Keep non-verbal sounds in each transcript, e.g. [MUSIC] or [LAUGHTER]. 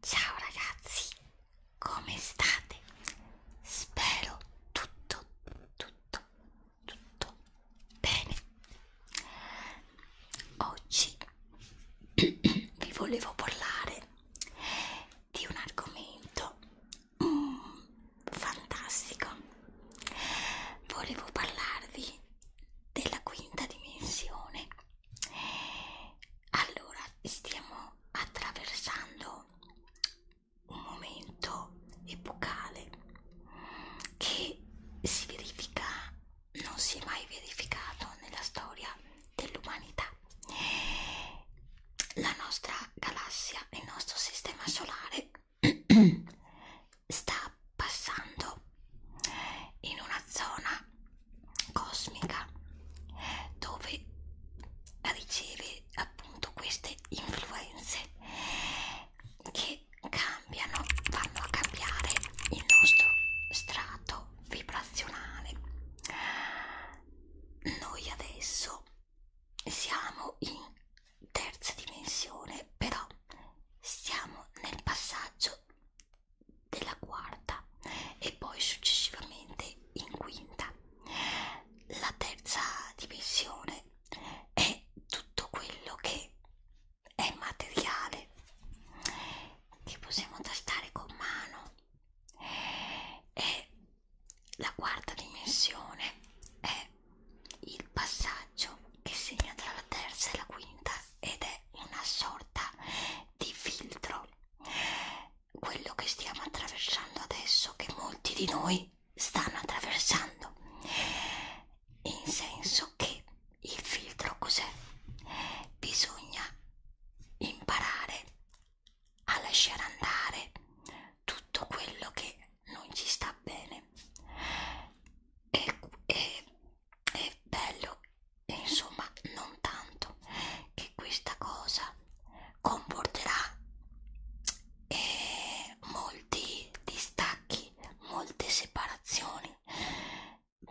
Ciao ragazzi, come state? Spero tutto, tutto, tutto bene. Oggi [CLEARS THROAT] vi volevo parlare di un argomento Mm, fantastico! Volevo parlarvi della quinta dimensione. Allora, stiamo attraversando un momento epocale che si verifica, non si è mai verificato nella storia dell'umanità. La nostra galassia, il nostro sistema solare [CLEARS THROAT] sta passando in una zona cosmica dove riceve appunto queste influenze che cambiano vanno a cambiare il nostro strato vibrazionale noi adesso siamo in terza dimensione, però siamo nel passaggio della quarta e poi successivamente in quinta. La terza dimensione è tutto quello che è materiale che possiamo tastare con mano è la quarta dimensione è il passaggio che segna tra la terza e la quinta ed è una sorta di filtro. Quello che stiamo attraversando adesso, che molti di noi stanno attraversando, in senso che il filtro cos'è? Bisogna imparare a lasciare andare tutto quello che non ci sta bene e, e, è bello insomma non tanto che questa cosa comporterà eh, molti distacchi molte separazioni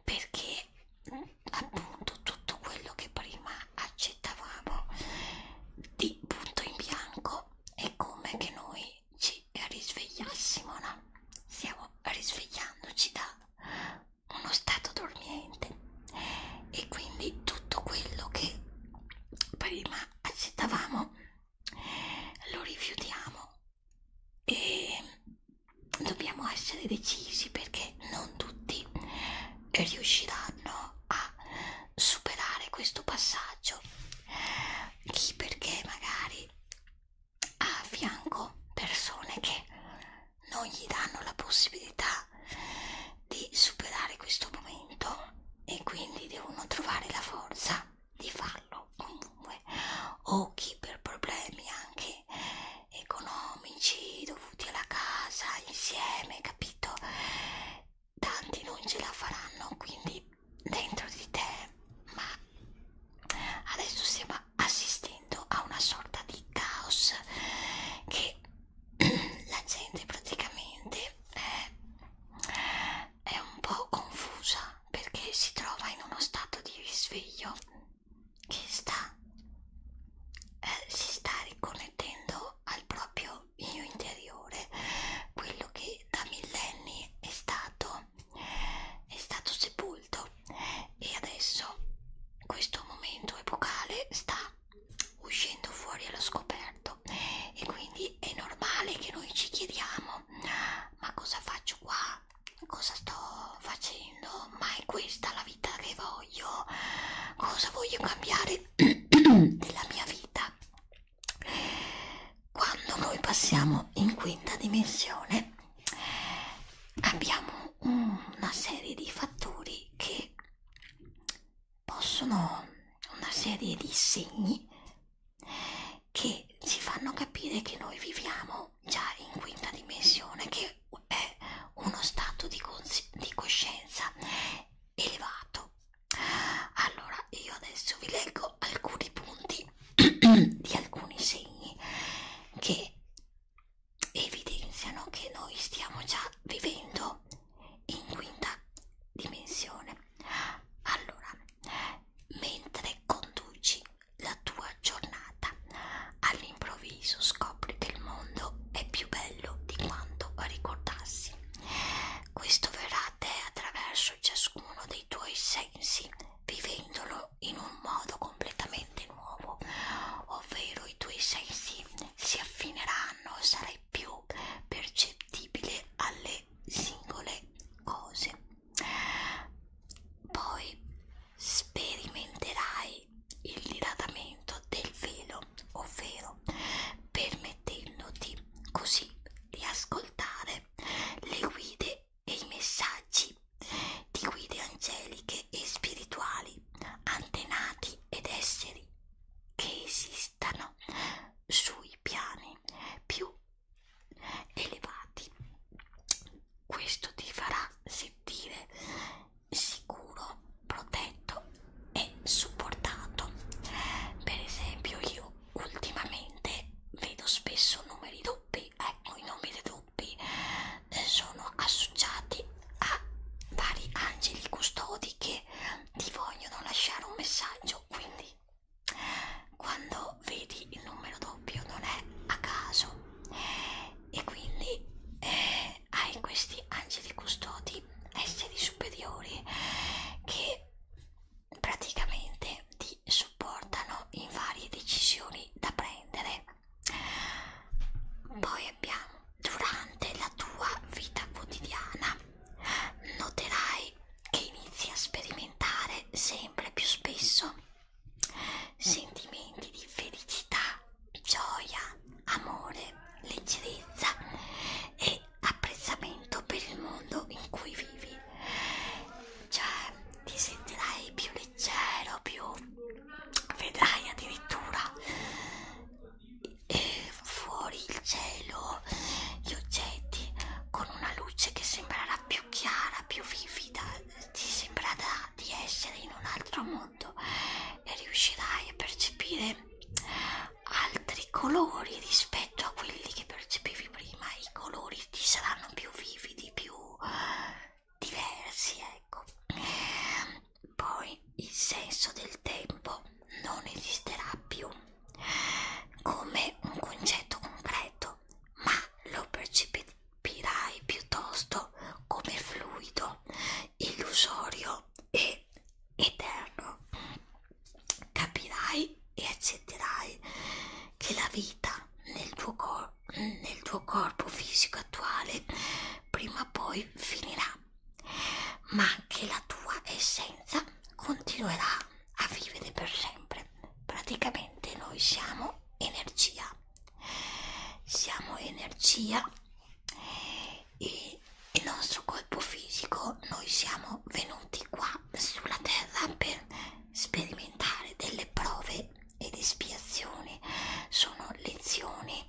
perché appunto tutto quello che prima accettavamo di punto in bianco è come che noi ci risvegliassimo, no? Stiamo risvegliandoci da uno stato dormiente e quindi tutto quello che prima accettavamo lo rifiutiamo e dobbiamo essere decisi perché non tutti riusciranno a superare questo passaggio chi perché magari ha a fianco persone che non gli danno la possibilità di superare questo momento e quindi devono trovare la forza di farlo comunque o chi per problemi anche economici dovuti alla casa insieme capito tanti non ce la faranno quindi dentro di te ma adesso stiamo assistendo a una sorta di caos che [CLEARS THROAT] la gente praticamente è, è un po' confusa perché si trova in uno stato di risveglio che sta eh, si sta riconnettendo al proprio mio io interiore, quello che da millenni è stato, è stato sepolto e adesso questo momento epocale sta uscendo fuori allo scoperto e quindi è normale che noi ci chiediamo ma cosa faccio qua? Cosa sto facendo? Ma è questa la vita che voglio? Cosa voglio cambiare nella mia vita quando noi passiamo in quinta dimensione abbiamo una serie di fattori che possono una serie di segni che ci fanno capire che noi viviamo già in quinta dimensione che è uno stato di, cosci di coscienza elevato. Allora, io adesso vi leggo alcuni punti [CLEARS THROAT] di alcuni segni che evidenziano che noi stiamo già vivendo in quinta dimensione. Allora, mentre conduci la tua giornata, all'improvviso scopri che il mondo mondo è più bello di quanto ricordassi. Questo verrà a te attraverso ciascuno dei tuoi sensi, vivendolo in un modo completamente nuovo, ovvero i tuoi sensi si affineranno, sarai più percettibile alle singole cose. Poi sperimenterai e il dilatamento del velo, ovvero permettendoti così di ascoltare le guide e i messaggi di guide angeliche e spirituali, antenati ed esseri che esistano sui piani più elevati. Questo ti farà sentire sicuro, protetto e supportato. Per esempio, io ultimamente vedo spesso numeri doppi, ecco i numeri doppi eh, sono associati a vari angeli custodi che ti vogliono lasciare un messaggio. Quindi, quando vedi il numero doppio, non è a caso, e quindi eh, perché hai questi angeli custodi, esseri superiori, che praticamente ti supportano in varie decisioni da prendere. Poi abbiamo, durante la tua vita quotidiana, noterai che inizi a sperimentare sempre più spesso sentimenti di felicità gioia, amore, leggerezza e apprezzamento per il mondo in cui vivi. Cioè, ti sentirai più leggero, più vedrai addirittura eh, fuori il cielo gli oggetti con una luce che sembrerà più chiara, più vivida, ti sembrerà di essere in un altro mondo ne riuscirai a percepire altri colori rispetto a quelli che percepivi prima. I colori ti saranno più vividi, più diversi, ecco. Poi il senso del tempo non esisterà più come un concetto concreto, ma lo percepirai piuttosto come fluido illusorio e eterno, capirai e accetterai che la vita nel tuo, cor nel tuo corpo fisico attuale prima o poi finirà, ma che la tua essenza continuerà a vivere per sempre. Praticamente noi siamo energia, siamo energia e il nostro corpo fisico noi siamo venuti qua sulla terra per sperimentare delle prove ed espiazioni sono lezioni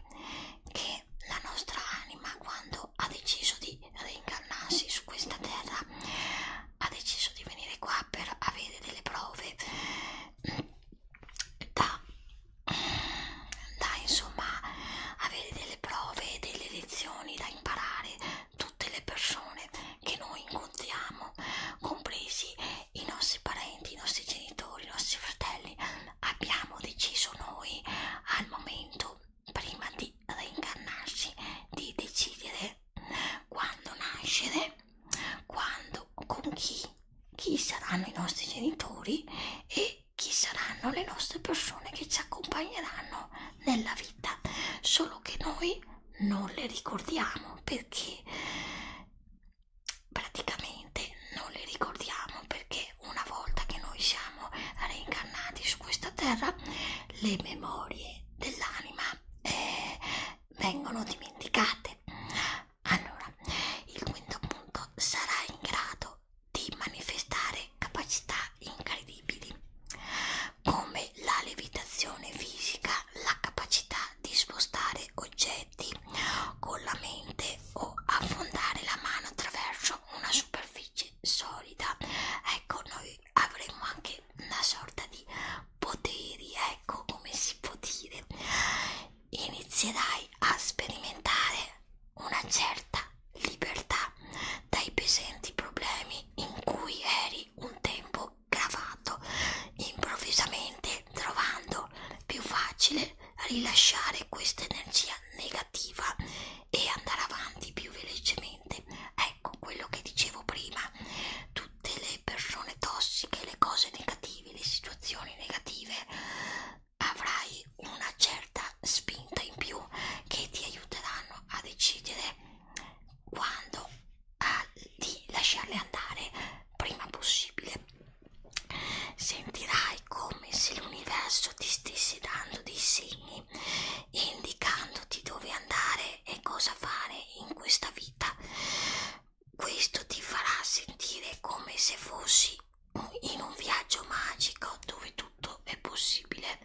che la nostra anima quando ha deciso di reincarnarsi su questa terra ha deciso di venire qua per avere delle prove da, da insomma avere delle prove, delle lezioni da imparare tutte le persone che noi incontriamo, compresi i nostri parenti, i nostri genitori, i nostri fratelli. Abbiamo deciso noi al momento prima di reincarnarsi di decidere quando nascere, quando, con chi chi saranno i nostri genitori e chi saranno le nostre persone che ci accompagneranno nella vita, solo che noi non le ricordiamo perché praticamente non le ricordiamo perché una volta che noi siamo reincarnati su questa terra le memorie dell'anima eh, vengono dimenticate allora, il quinto punto sarà in grado di manifestare capacità incredibili come la levitazione fisica, la capacità di spostare oggetti con la mente o affondare la mano attraverso una superficie solida. Ecco, noi avremo anche una sorta di poteri, ecco come si può dire inizierai a sperimentare una certa libertà dai pesanti problemi in cui eri un tempo gravato, improvvisamente trovando più facile rilasciare questa energia negativa e andare avanti più velocemente. Ecco quello che dicevo prima, tutte le persone tossiche, le cose negative, le situazioni negative, avrai una certa spinta in più che ti aiuteranno a decidere quando a, di lasciarle andare prima possibile. Sentirai come se l'universo ti stesse dando dei segni indicandoti dove andare e cosa fare in questa vita questo ti farà sentire come se fossi in un viaggio magico dove tutto è possibile.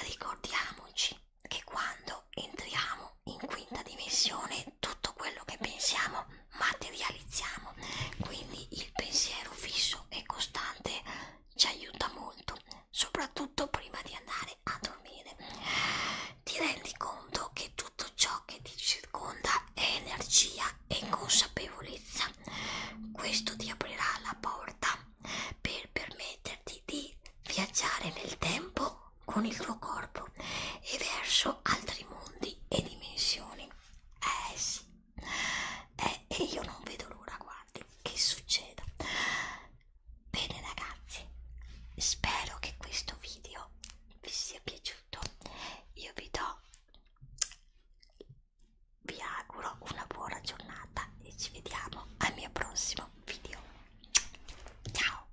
Ricordiamoci che quando entriamo in quinta dimensione tutto quello che pensiamo materializziamo. Quindi il pensiero fisso e costante ci aiuta molto, soprattutto prima di andare a dormire ti rendi conto che tutto ciò che ti circonda è energia e consapevolezza. Questo ti aprirà la porta per permetterti di viaggiare nel tempo con il tuo corpo e verso altri mondi e dimensioni. Eh sì, eh, e io non vedo l'ora, guardi, che succeda. Bene ragazzi, spero che questo video vi sia piaciuto io vi do vi auguro una buona giornata e ci vediamo al mio prossimo video ciao